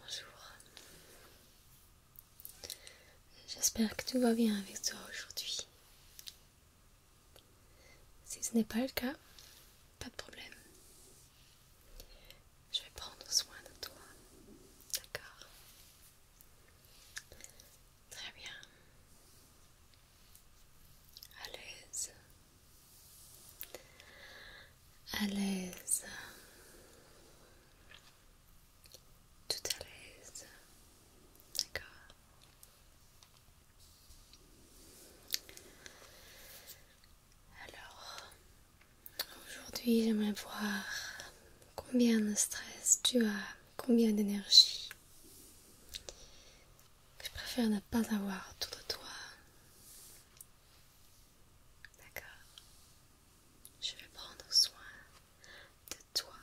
Bonjour. J'espère que tout va bien avec toi aujourd'hui. Si ce n'est pas le cas, pas de problème. Je vais prendre soin de toi. D'accord Très bien. À l'aise. À l'aise. Tout à l'aise. D'accord Alors, Aujourd'hui, j'aimerais voir combien de stress tu as, combien d'énergie. Je préfère ne pas avoir autour de toi. D'accord Je vais prendre soin de toi.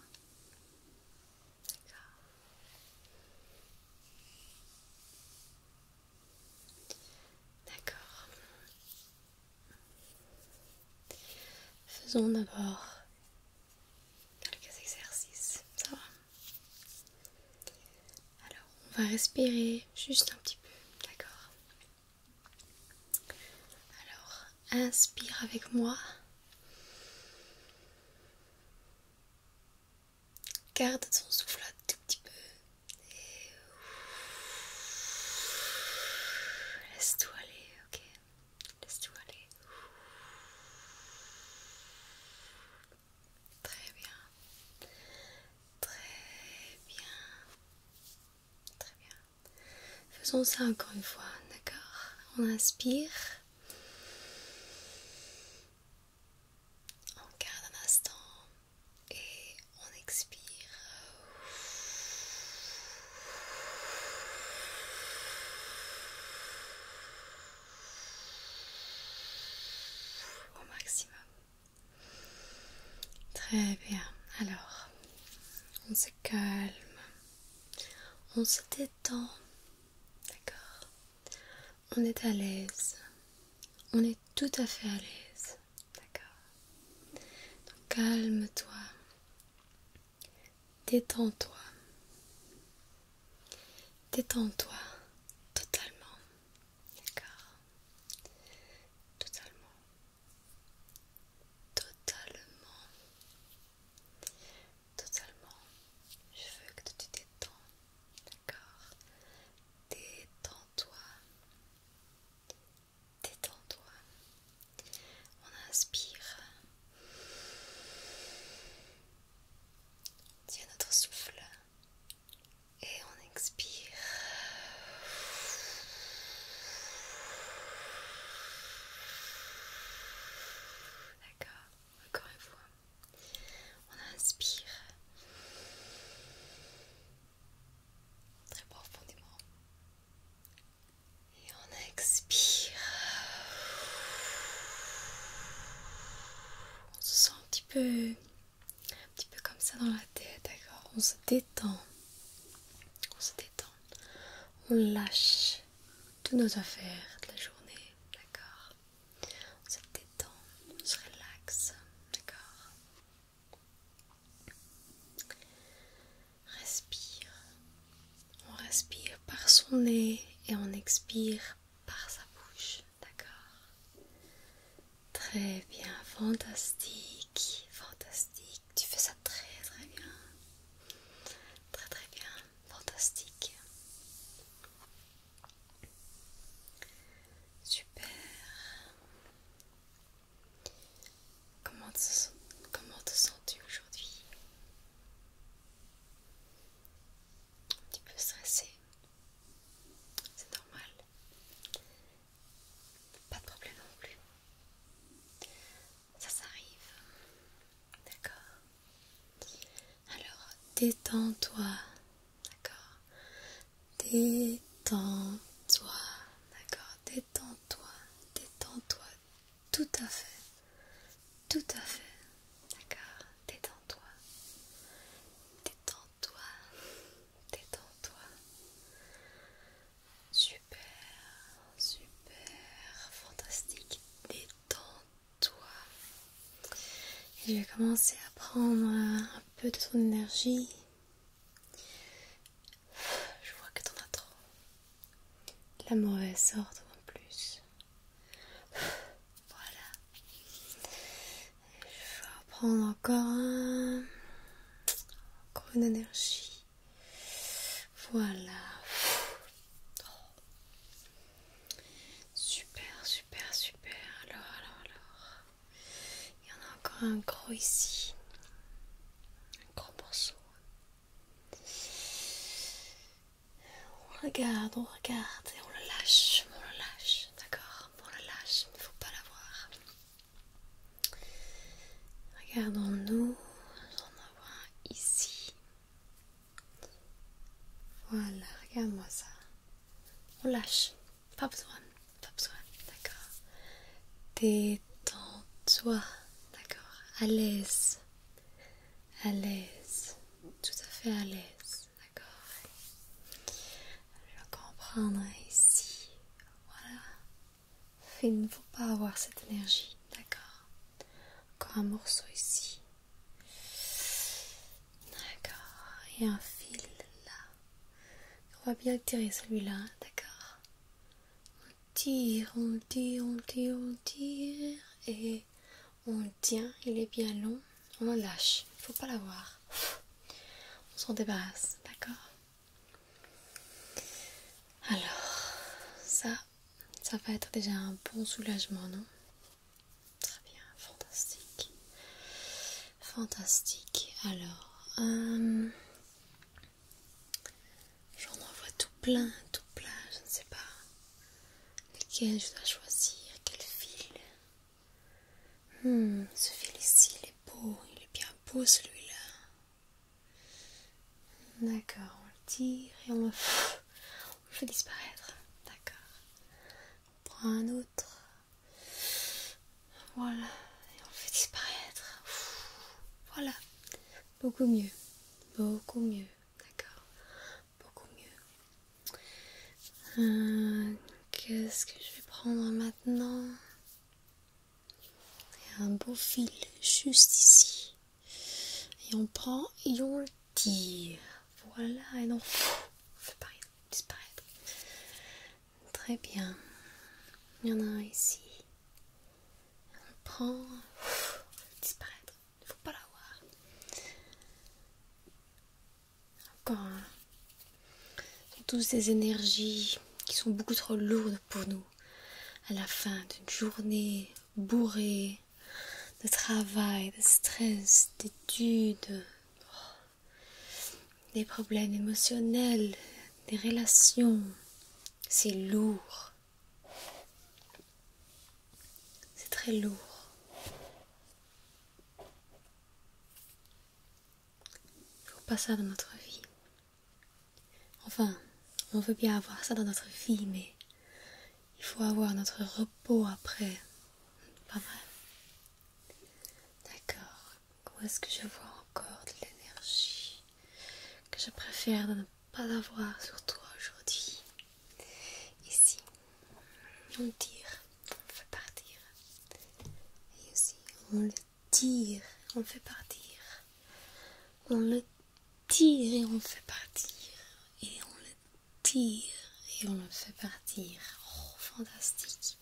D'accord D'accord. Faisons d'abord quelques exercices, ça va Alors, on va respirer juste un petit peu, d'accord Alors, inspire avec moi. Garde ton souffle un tout petit peu. Laisse-toi aller, ok Laisse-toi aller. Très bien. Très bien. Très bien. Faisons ça encore une fois, d'accord On inspire. On garde un instant et on expire. Au maximum. Très bien. Alors, on se calme. On se détend. D'accord. On est à l'aise. On est tout à fait à l'aise. D'accord calme-toi. Détends-toi. Détends-toi totalement. D'accord Totalement. Totalement. Totalement. Je veux que tu détends. D'accord Détends-toi. Détends-toi. On inspire. tiens notre souffle. Et on expire. D'accord, encore une fois. On inspire très profondément. Et on expire. On se sent un petit peu, un petit peu comme ça dans la tête, d'accord On se détend. On se détend. On lâche toutes nos affaires de la journée, d'accord On se détend, on se relaxe, d'accord Respire. On respire par son nez et on expire par sa bouche. D'accord Très bien. Fantastique. Fantastique. Tu fais ça très très bien. Très très bien. Fantastique. Super. Comment te, sens-tu aujourd'hui Un petit peu stressé, c'est normal. Pas de problème non plus. Ça s'arrive. D'accord Alors détends-toi. D'accord Détends-toi, d'accord Détends-toi, détends-toi, tout à fait, tout à fait, d'accord Détends-toi, détends-toi, détends-toi. Super, super, fantastique, détends-toi. Et je vais commencer à prendre un peu de ton énergie je vois que t'en as trop. La mauvaise sorte en plus. Voilà. Je vais prendre encore un. Encore une énergie. Voilà. Super, super, super. Alors, alors, alors. Il y en a encore un gros ici. Un gros morceau. On regarde, on regarde et on le lâche, on le lâche, d'accord On le lâche, il ne faut pas l'avoir. Regardons-nous, on en a un ici. Voilà, regarde-moi ça. On lâche, pas besoin, pas besoin, d'accord. Détends-toi, d'accord. À l'aise, à l'aise, tout à fait à l'aise, d'accord. Je vais comprendre ici, voilà. Il ne faut pas avoir cette énergie, d'accord. Encore un morceau ici. D'accord, et un fil là. On va bien tirer celui-là, d'accord On tire, on tire, on tire, on tire. Et on le tient, il est bien long. On en lâche, il faut pas l'avoir. On s'en débarrasse, d'accord Alors, ça, ça va être déjà un bon soulagement, non Très bien, fantastique. Fantastique. Alors, euh, j'en envoie tout plein, tout plein, je ne sais pas lequel je dois choisir, quel fil. Hmm, ce fil ici, il est beau, il est bien beau celui-là. D'accord, on le tire et on on le fait disparaître. D'accord. On prend un autre. Voilà, et on le fait disparaître. voilà, beaucoup mieux, beaucoup mieux, d'accord, beaucoup mieux. Euh, qu'est-ce que je vais prendre maintenant Il y a un beau fil juste ici. Et on prend et on tire. Voilà, et donc, on fait disparaître. Très bien. Il y en a un ici. On le prend. va disparaître. Il ne faut pas l'avoir. Encore un. Toutes ces énergies qui sont beaucoup trop lourdes pour nous. À la fin d'une journée bourrée de travail, de stress, d'études. Oh des problèmes émotionnels, des relations. C'est lourd. C'est très lourd. Il faut pas ça dans notre vie. Enfin, on veut bien avoir ça dans notre vie, mais il faut avoir notre repos après. Pas vrai D'accord. Où est-ce que je vois encore de l'énergie que je préfère ne pas avoir sur toi aujourd'hui Ici, on tire, on fait partir. Et ici, on le tire, on fait partir. On le tire et on le fait partir. Et on le tire et on le fait partir. Oh, fantastique.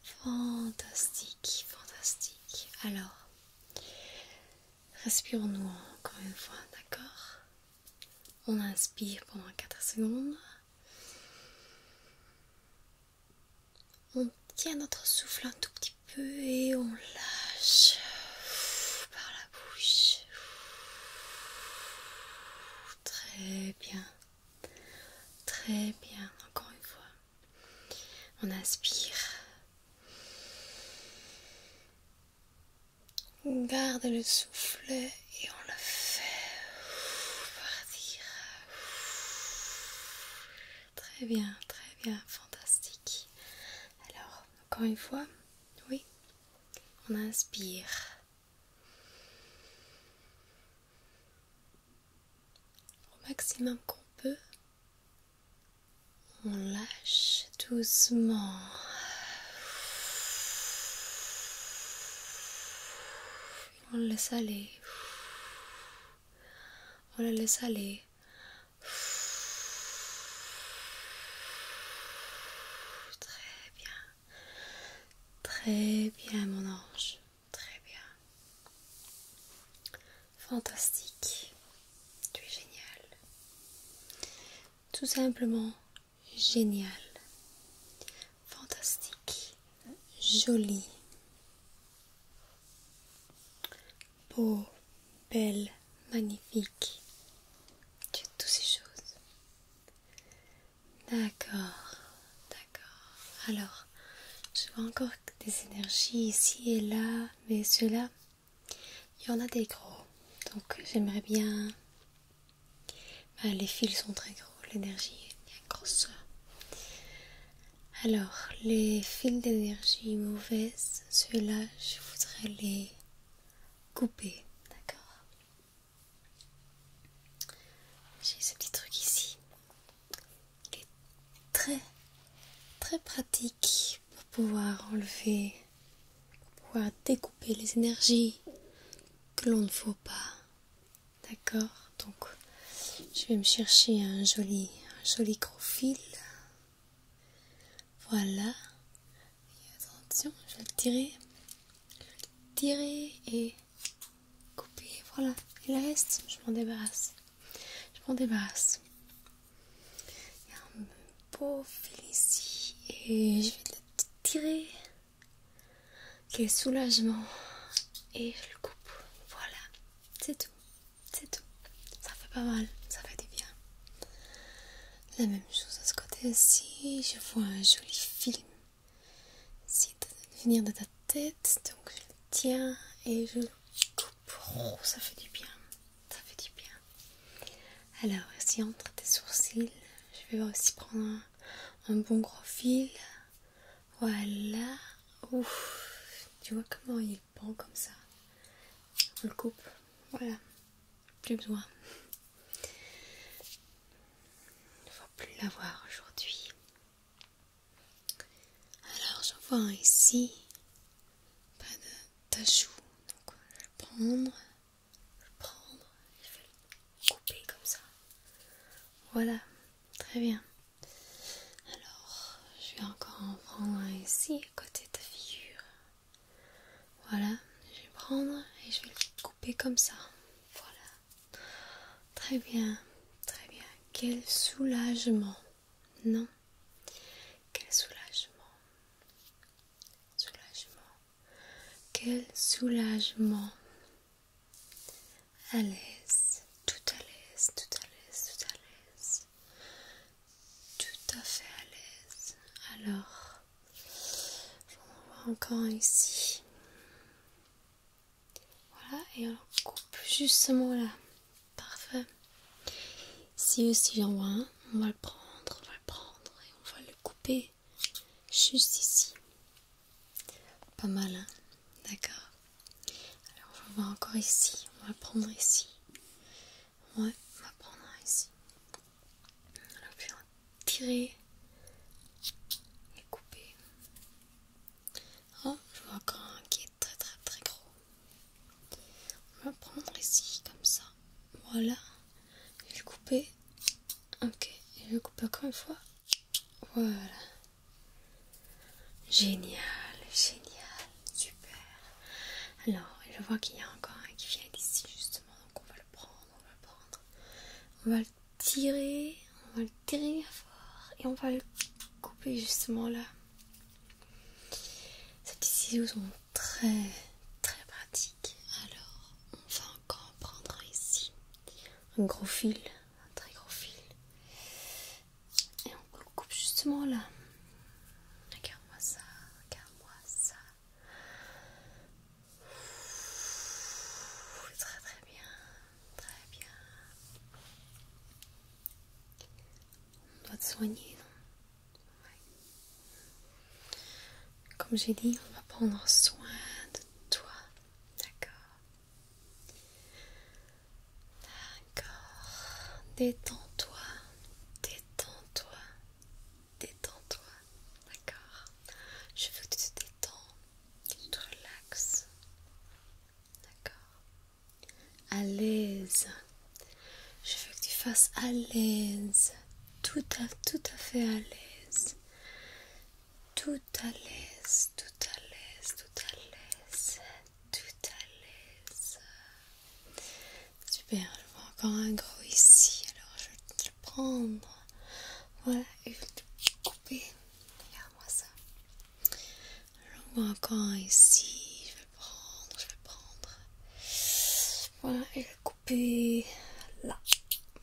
Fantastique, fantastique. Alors, respirons-nous encore une fois, d'accord On inspire pendant 4 secondes. On tient notre souffle un tout petit peu et on lâche par la bouche. Très bien. Très bien, encore une fois. On inspire. On garde le souffle et on le fait partir. Très bien, très bien, fantastique. Alors, encore une fois, oui, on inspire. Au maximum qu'on peut, on lâche doucement. On laisse aller. On le laisse aller. Très bien. Très bien, mon ange. Très bien. Fantastique. Tu es génial. Tout simplement génial. Fantastique. Jolie. Beau, belle, magnifique. Tu as toutes ces choses. D'accord, d'accord. Alors, je vois encore des énergies ici et là, mais ceux-là, il y en a des gros. Donc, j'aimerais bien. Ben, les fils sont très gros, l'énergie est bien grosse. Alors, les fils d'énergie mauvaise, ceux-là, je voudrais les couper, d'accord j'ai ce petit truc ici. qui est très très pratique pour pouvoir enlever, pour pouvoir découper les énergies que l'on ne faut pas. D'accord Donc je vais me chercher un joli, un joli gros fil. Voilà. attention, je vais le tirer. Je vais le tirer et couper, voilà. il reste, je m'en débarrasse. Je m'en débarrasse. Il y a un beau fil ici et je vais le tirer. Quel soulagement. Et je le coupe. Voilà. C'est tout. C'est tout. Ça fait pas mal. Ça fait du bien. La même chose à ce côté-ci. Je vois un joli film c'est venir de ta tête, donc je le tiens et je le coupe. Oh, ça fait du bien, ça fait du bien. Alors, ici entre tes sourcils, je vais aussi prendre un, bon gros fil. Voilà. Ouf, tu vois comment il est comme ça. On le coupe. Voilà. Plus besoin. Il ne faut plus l'avoir aujourd'hui. Alors je vois ici pas de tachou, donc je vais prendre, je vais le prendre, je vais le couper comme ça. Voilà, très bien. Alors je vais encore en prendre ici à côté de ta figure. Voilà, je vais prendre et je vais le couper comme ça. Voilà. Très bien, très bien. Quel soulagement. Non. Quel soulagement. Soulagement. Quel soulagement. À l'aise. Tout à l'aise, tout à l'aise, tout à l'aise. Tout à fait à l'aise. Alors, on va encore ici. Voilà, et on coupe justement là. Parfait. Si aussi, j'en vois un. On va le prendre, on va le prendre et on va le couper juste ici. Pas mal, hein. D'accord. Alors, on va encore ici. On va le prendre ici. Ouais, on va prendre ici tirer et couper. Oh, je vois encore un qui est très très très gros. On va prendre ici comme ça. Voilà. et le couper. Ok. Et je couper encore une fois. Voilà. Génial, génial, super. Alors, je vois qu'il y a encore un qui vient d'ici justement, donc on va le prendre, on va le prendre. On va tirer, on va le tirer fort et on va le couper justement là. Ces petits ciseaux sont très très pratiques. Alors on va encore prendre ici, un gros fil, un très gros fil. Et on le coupe justement là. Regarde-moi ça, regarde-moi ça. Très très bien, très bien. On doit te soigner, non Comme j'ai dit, on va prendre soin de toi, d'accord D'accord, détends-toi, détends-toi, détends-toi, d'accord Je veux que tu te détends tu te relaxe, d'accord À l'aise, je veux que tu fasses à l'aise, tout à, tout à fait à l'aise, tout à l'aise, tout à l'aise, tout à l'aise, tout à l'aise. Super, je vois encore un gros ici, alors je vais le prendre. Voilà, et je vais couper. Regarde-moi ça. Je vois encore ici. Je vais prendre, je vais prendre. Voilà, et je vais couper là.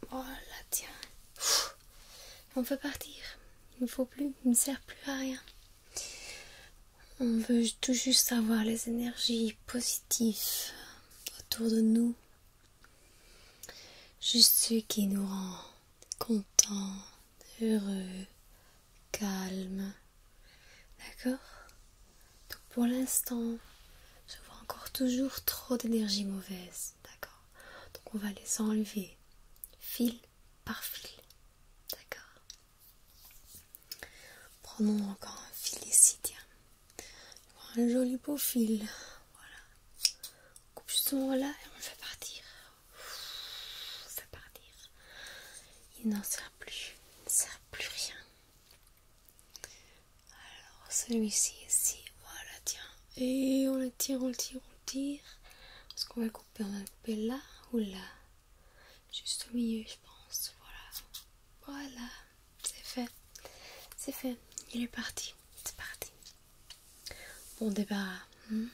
Voilà, tiens. On peut partir. Il ne faut plus, il ne sert plus à rien. On veut tout juste avoir les énergies positives autour de nous. Juste ce qui nous rend contents, heureux, calmes. D'accord Donc pour l'instant, je vois encore toujours trop d'énergie mauvaise. D'accord Donc on va les enlever fil par fil. D'accord Prenons encore un fil ici, un joli beau fil voilà on coupe justement là et on le fait partir on fait partir il n'en sert plus il ne sert plus rien alors celui-ci ici voilà tiens et on le tire on le tire on le tire parce qu'on va couper on va le couper là ou là juste au milieu je pense voilà voilà c'est fait, c'est fait, il est parti, c'est parti. Bon débarras, ne hmm?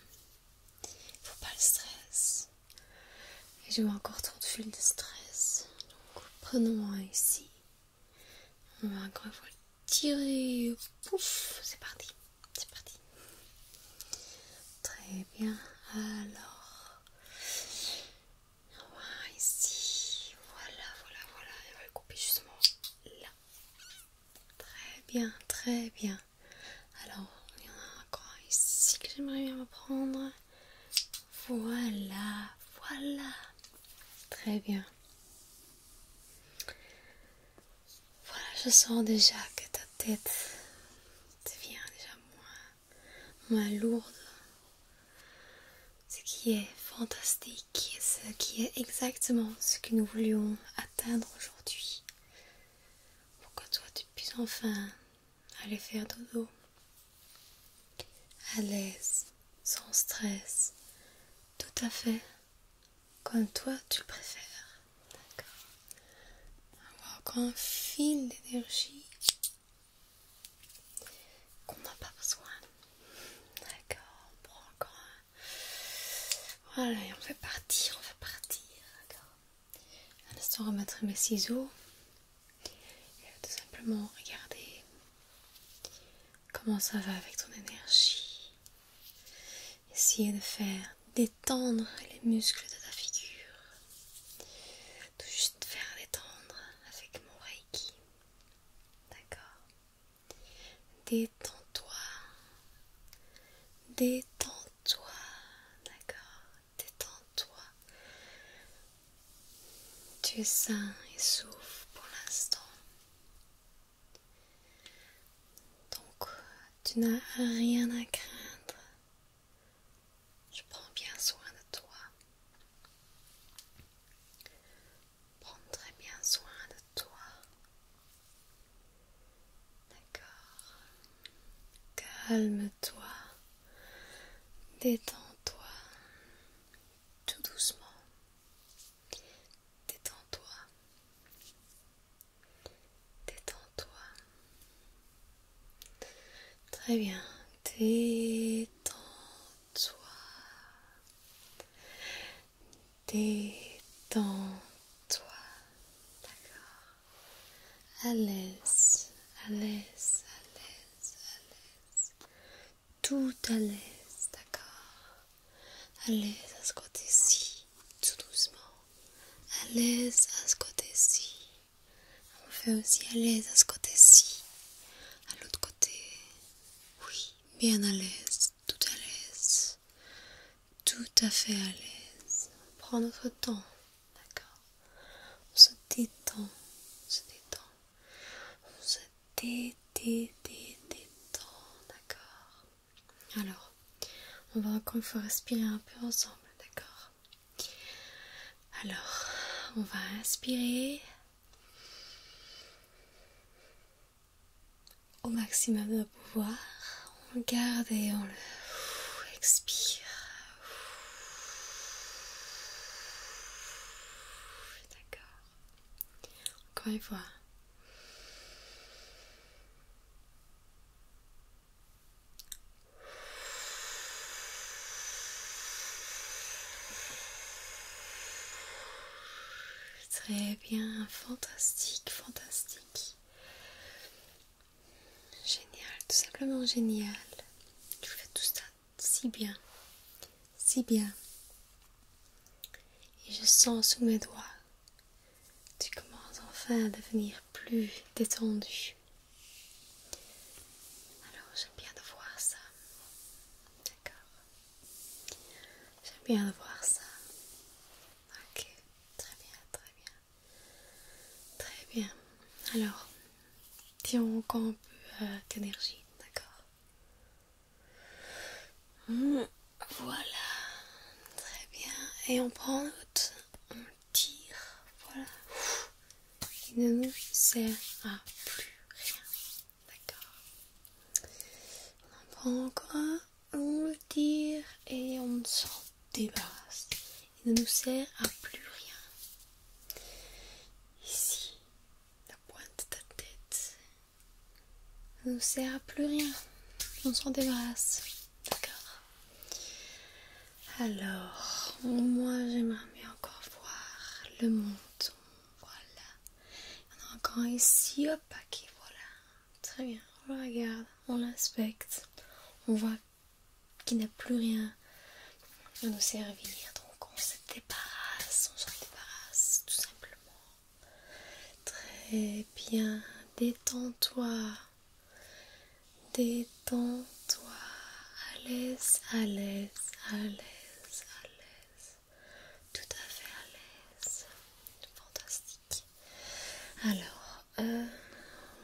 faut pas le stress. Et encore trop de fil de stress, donc prenons un ici. On va encore une le tirer, pouf, c'est parti, c'est parti. Très bien, alors. Ici, voilà, voilà, voilà, puis justement là. Très bien, très bien. Alors, il y en a encore ici que j'aimerais bien reprendre Voilà, voilà. Très bien. Voilà, je sens déjà que ta tête devient déjà moins, moins lourde ce qui est fantastique, ce qui est exactement ce que nous voulions atteindre aujourd'hui, pour que toi tu puisses enfin aller faire dodo, à l'aise, sans stress, tout à fait comme toi tu le préfères, d'accord un fil d'énergie qu'on n'a pas besoin. D'accord, on prend encore un. Voilà, et on fait partir, on fait partir. D'accord. À mes ciseaux. Et tout simplement regarder comment ça va avec ton énergie. Essayer de faire détendre les muscles de ta figure. Tout juste faire détendre avec mon reiki. D'accord Détends-toi. Détends-toi. D'accord Détends-toi. Tu es sain et souffle pour l'instant. Donc, tu n'as rien à craindre. Je prends bien soin de toi prendre très bien soin de toi. D'accord. Calme-toi. Détends-toi. Tout doucement. Détends-toi. Détends-toi. Très bien. Détends-toi toi Détends-toi. D'accord. À l'aise, à l'aise, à l'aise, à l'aise. Tout à l'aise, d'accord. À l'aise à ce côté-ci, tout doucement. À l'aise à ce côté-ci. On fait aussi à l'aise à ce côté-ci. À l'autre côté. Oui, bien à l'aise, tout à l'aise. Tout à fait à l'aise. Prends notre temps, d'accord On se détend, on se détend. On se détend, d'accord Alors, on va encore une fois respirer un peu ensemble, d'accord Alors, on va inspirer au maximum de pouvoir. On le garde et on le expire. D'accord. Encore une fois. Très bien, fantastique, fantastique. Génial, tout simplement génial. Tu fais tout ça si bien, si bien. Et je sens sous mes doigts, tu commences enfin à devenir plus détendu. Alors j'aime bien de voir ça. D'accord. J'aime bien voir ça. Ok, très bien, très bien. Très bien. Alors, tiens encore un peu d'énergie, euh, d'accord hmm, Voilà, très bien. Et on prend note, on tire, voilà. Il ne nous sert à plus rien. D'accord. On en prend encore un, on le tire et on s'en débarrasse. Il ne nous sert à plus rien. Ici, la pointe de ta tête ne nous sert à plus rien. On s'en débarrasse. D'accord. Alors, moi j'aimerais bien encore voir le menton. Voilà. Il y en a encore ici. Hop, qui voilà. Très bien. On le regarde, on l'inspecte. On voit qu'il n'a plus rien à nous servir. Donc on se débarrasse, on se débarrasse tout simplement. Très bien. Détends-toi. Détends-toi. À l'aise, à l'aise, à l'aise, tout à fait à l'aise, fantastique. Alors, euh,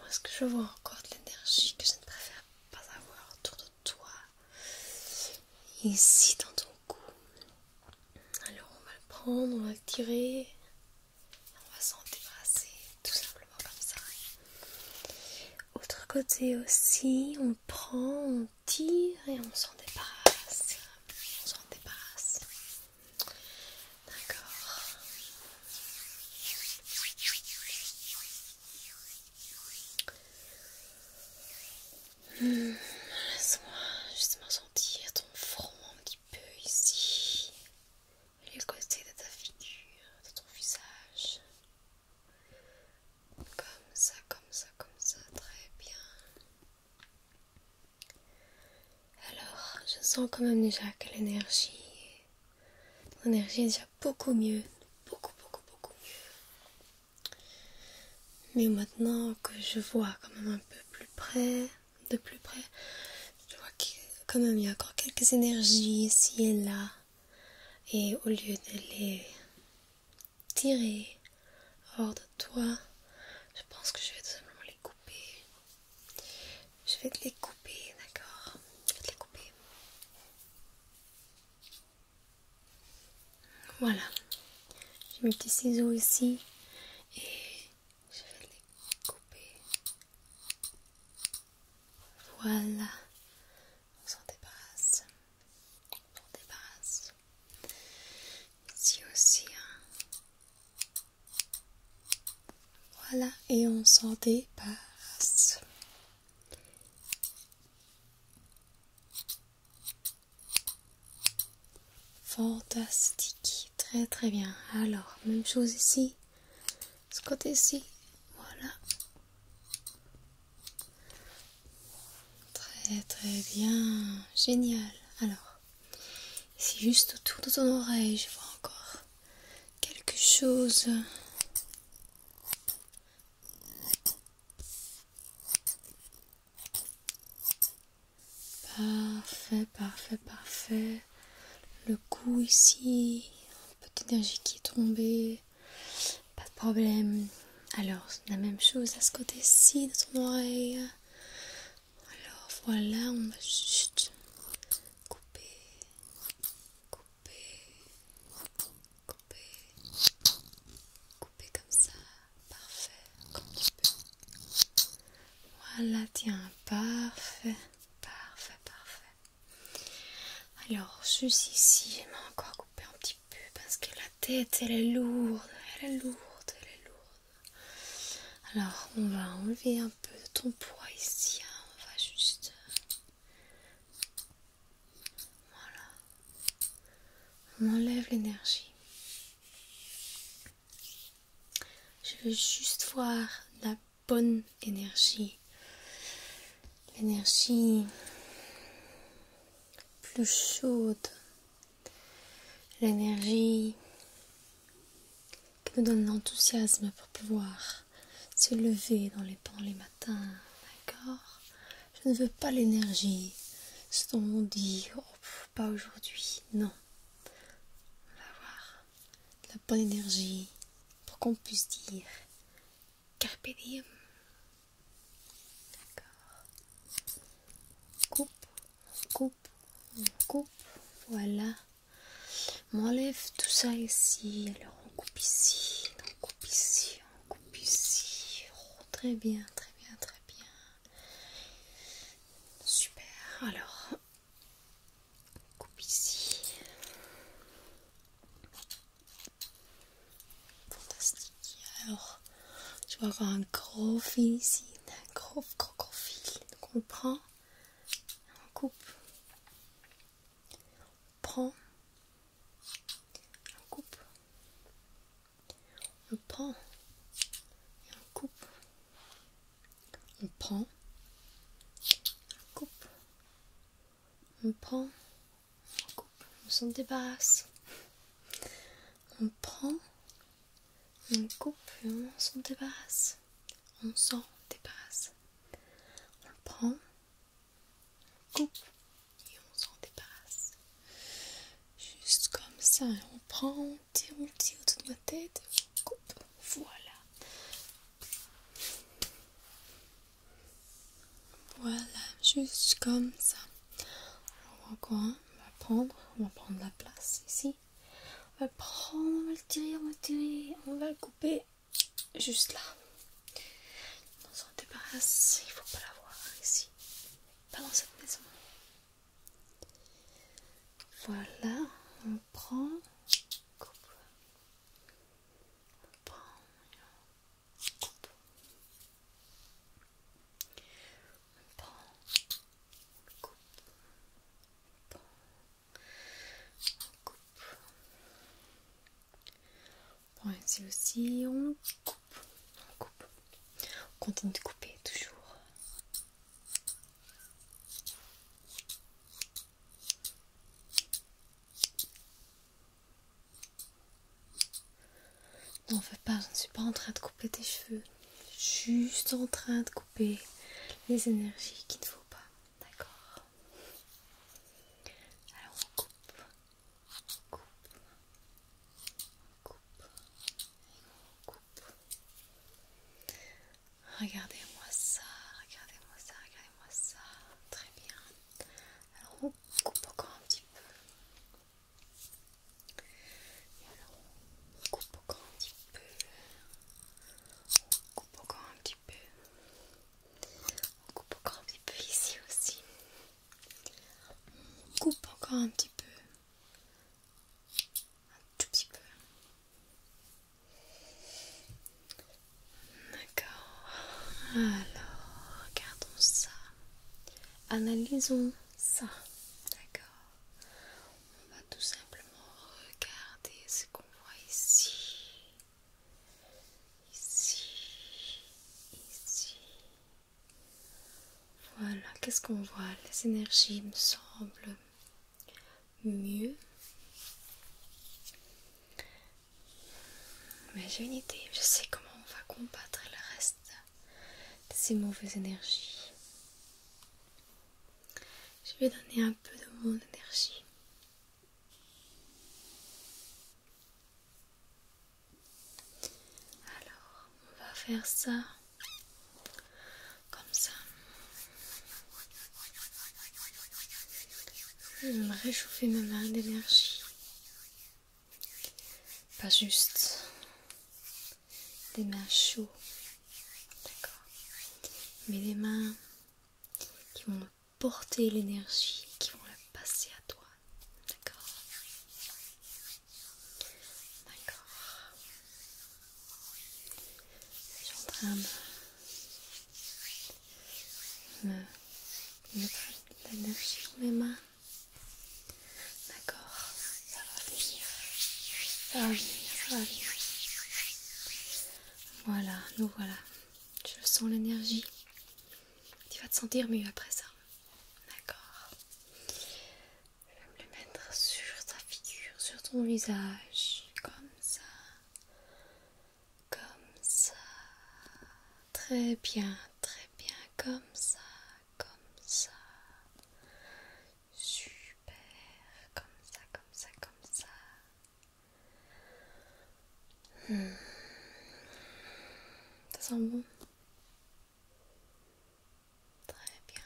ce que je vois encore de l'énergie que je ne préfère pas avoir autour de toi, ici dans ton cou. Alors on va le prendre, on va le tirer, on va s'en débarrasser tout simplement comme ça. Autre côté aussi, on on prend, on tire et on s'en débarrasse. On s'en débarrasse. D'accord. Hmm, laisse-moi justement sentir ton front un petit peu ici. Les côtés de ta figure, de ton visage. Comme ça, comme ça, comme ça, très bien. Alors, je sens quand même déjà que l'énergie, l'énergie est déjà beaucoup mieux, beaucoup, beaucoup, beaucoup mieux. Mais maintenant que je vois quand même un peu plus près, de plus près, je vois a quand même y a encore quelques énergies ici et là. Et au lieu de les tirer hors de toi. Je pense que je vais tout simplement les couper. Je vais te les couper, d'accord Je vais te les couper. Voilà. J'ai mes petits ciseaux ici. Et je vais les couper. Voilà on s'en débarrasse, on s'en débarrasse. Ici aussi, hein. voilà, et on s'en débarrasse. Fantastique, très très bien. Alors, même chose ici, ce côté-ci, voilà. Très très bien, génial. Alors, c'est juste autour de ton oreille, je vois encore quelque chose. Parfait, parfait, parfait. Le cou ici, un peu d'énergie qui est tombée. Pas de problème. Alors, la même chose à ce côté-ci de ton oreille. Alors voilà, on va juste couper, couper, couper, couper comme ça. Parfait, comme tu peux. Voilà, tiens, parfait, parfait, parfait. Alors, suis ici, elle m'a encore coupé un petit peu parce que la tête, elle est lourde, elle est lourde, elle est lourde. Alors, on va enlever un peu de ton poids ici, hein, on va juste... Voilà. On enlève l'énergie. Je veux juste voir la bonne énergie l'énergie plus chaude, l'énergie qui nous donne l'enthousiasme pour pouvoir se lever dans les pans les matins, d'accord Je ne veux pas l'énergie, ce dont on dit, oh, pas aujourd'hui, non. On va avoir la bonne énergie pour qu'on puisse dire Carpe D'accord. coupe, on coupe, coupe. Voilà. On enlève tout ça ici. Alors on coupe ici, on coupe ici, on coupe ici. Oh, très bien, très bien, très bien. Super. Alors, on coupe ici. Fantastique. Alors, tu vas avoir un gros fil ici, un gros, gros, gros fil. Donc on le prend, on coupe, on prend, on coupe, on prend, et on coupe, on prend, on coupe, on prend on coupe, on s'en débarrasse. On prend, on coupe et on s'en débarrasse. On s'en débarrasse. On prend, on coupe et on s'en débarrasse. Juste comme ça, on prend, on tire, on autour de ma tête, on coupe. Voilà. Voilà, juste comme ça. On va prendre, on va prendre la place ici. On va le prendre, on va le tirer, on va le tirer, on va le couper juste là. On s'en débarrasse, il faut pas l'avoir ici. Pas dans cette maison. Voilà, on prend, coupe acompanham um pão, coupe cupo, um pão, um cupo. Bon, ici aussi, on coupe, on coupe, on continue de couper toujours. On fais pas, je ne suis pas en train de couper tes cheveux. Juste en train de couper les énergies qu'il ne faut pas. D'accord Alors on coupe. On coupe. On coupe. On coupe. Regardez-moi ça, regardez-moi ça, regardez-moi ça. Très bien. Alors on coupe encore un petit peu. Et alors on coupe encore un petit peu. On coupe encore un petit peu. On coupe encore un petit peu ici aussi. On coupe encore un petit peu. Un tout petit peu. D'accord. Alors, regardons ça. Analysons ça. D'accord. On va tout simplement regarder ce qu'on voit ici. Ici. Ici. Voilà, qu'est-ce qu'on voit Les énergies me semblent mieux. Mais j'ai une idée, je sais comment on va combattre le reste de ces mauvaises énergies. Je vais donner un peu de mon énergie. Alors, on va faire ça comme ça. Je vais me réchauffer ma main d'énergie. Pas juste des mains chaudes, d'accord, mais des mains qui vont porter l'énergie, qui vont la passer à toi, d'accord, d'accord. Je suis en train de me mettre l'énergie dans mes mains. D'accord, ça va venir, ça va venir, ça va Voilà, nous voilà. Je sens l'énergie. Tu vas te sentir mieux après ça. D'accord. Je vais me le mettre sur ta figure, sur ton visage, comme ça comme ça, très bien, très bien, comme ça, comme ça, super, comme ça, comme ça, comme ça. Hmm. Ça sent bon. Très bien.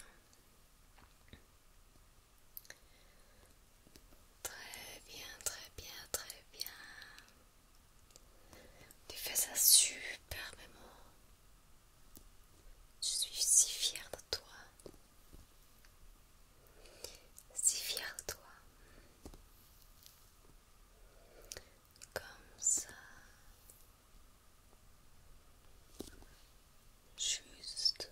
Très bien, très bien, très bien. Tu fais ça super, Je suis si fière de toi. Si fière de toi. Comme ça. Juste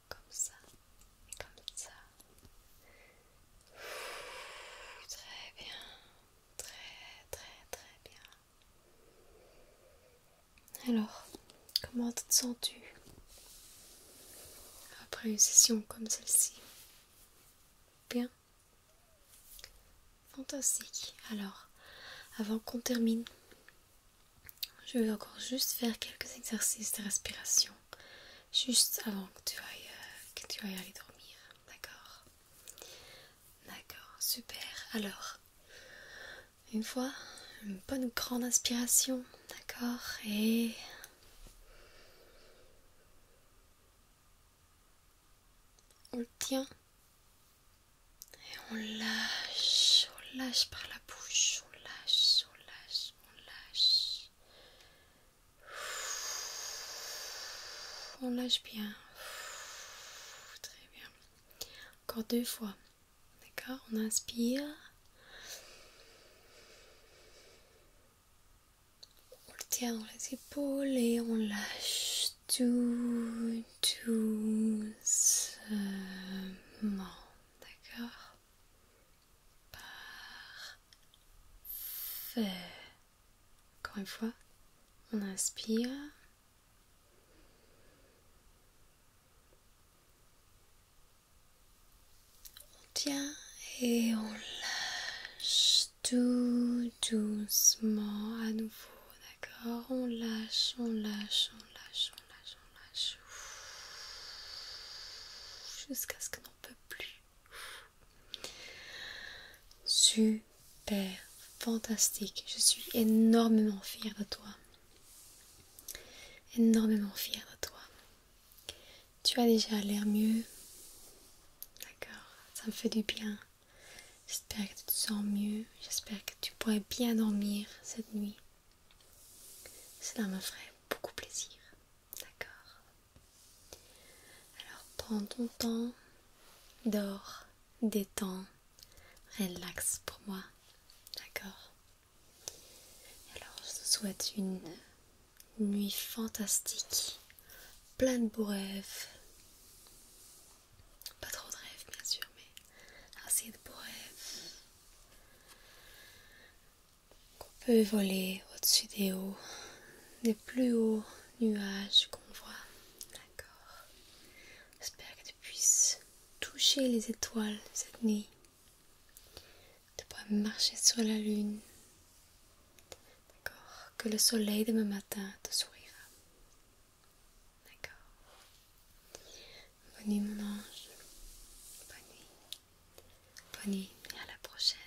comme ça et comme ça. très bien, très très très bien. Alors, comment te sens-tu après une session comme celle-ci Bien Fantastique. Alors, avant qu'on termine, je vais encore juste faire quelques exercices de respiration, juste avant que tu ailles, euh, aller dormir, d'accord D'accord, super. Alors, une fois, une bonne grande inspiration, d'accord Et... On le tient et on lâche, on lâche par la bouche, on lâche, on lâche, on lâche. On lâche bien. Très bien. Encore deux fois. D'accord On inspire. On le tient dans les épaules et on lâche tout doucement. D'accord. Parfait. Encore une fois, on inspire. On tient et on lâche tout doucement à nouveau. D'accord On lâche, on lâche, on lâche, Jusqu'à ce que ne peut plus. Super, fantastique. Je suis énormément fière de toi. Énormément fière de toi. Tu as déjà l'air mieux. D'accord, ça me fait du bien. J'espère que tu te sens mieux. J'espère que tu pourrais bien dormir cette nuit. Cela me ferait beaucoup plaisir. D'accord Alors prends ton temps, dors, détends, relaxe pour moi. D'accord Alors je te souhaite une nuit fantastique, pleine de beaux rêves. Pas trop de rêves bien sûr, mais assez de beaux rêves qu'on peut voler au-dessus des hauts, des plus hauts nuages qu'on voit. D'accord. J'espère que tu puisses toucher les étoiles cette nuit. Tu pourras marcher sur la lune. D'accord. Que le soleil demain matin te sourira. D'accord. Bonne nuit mon ange. Bonne nuit. Bonne nuit à la prochaine.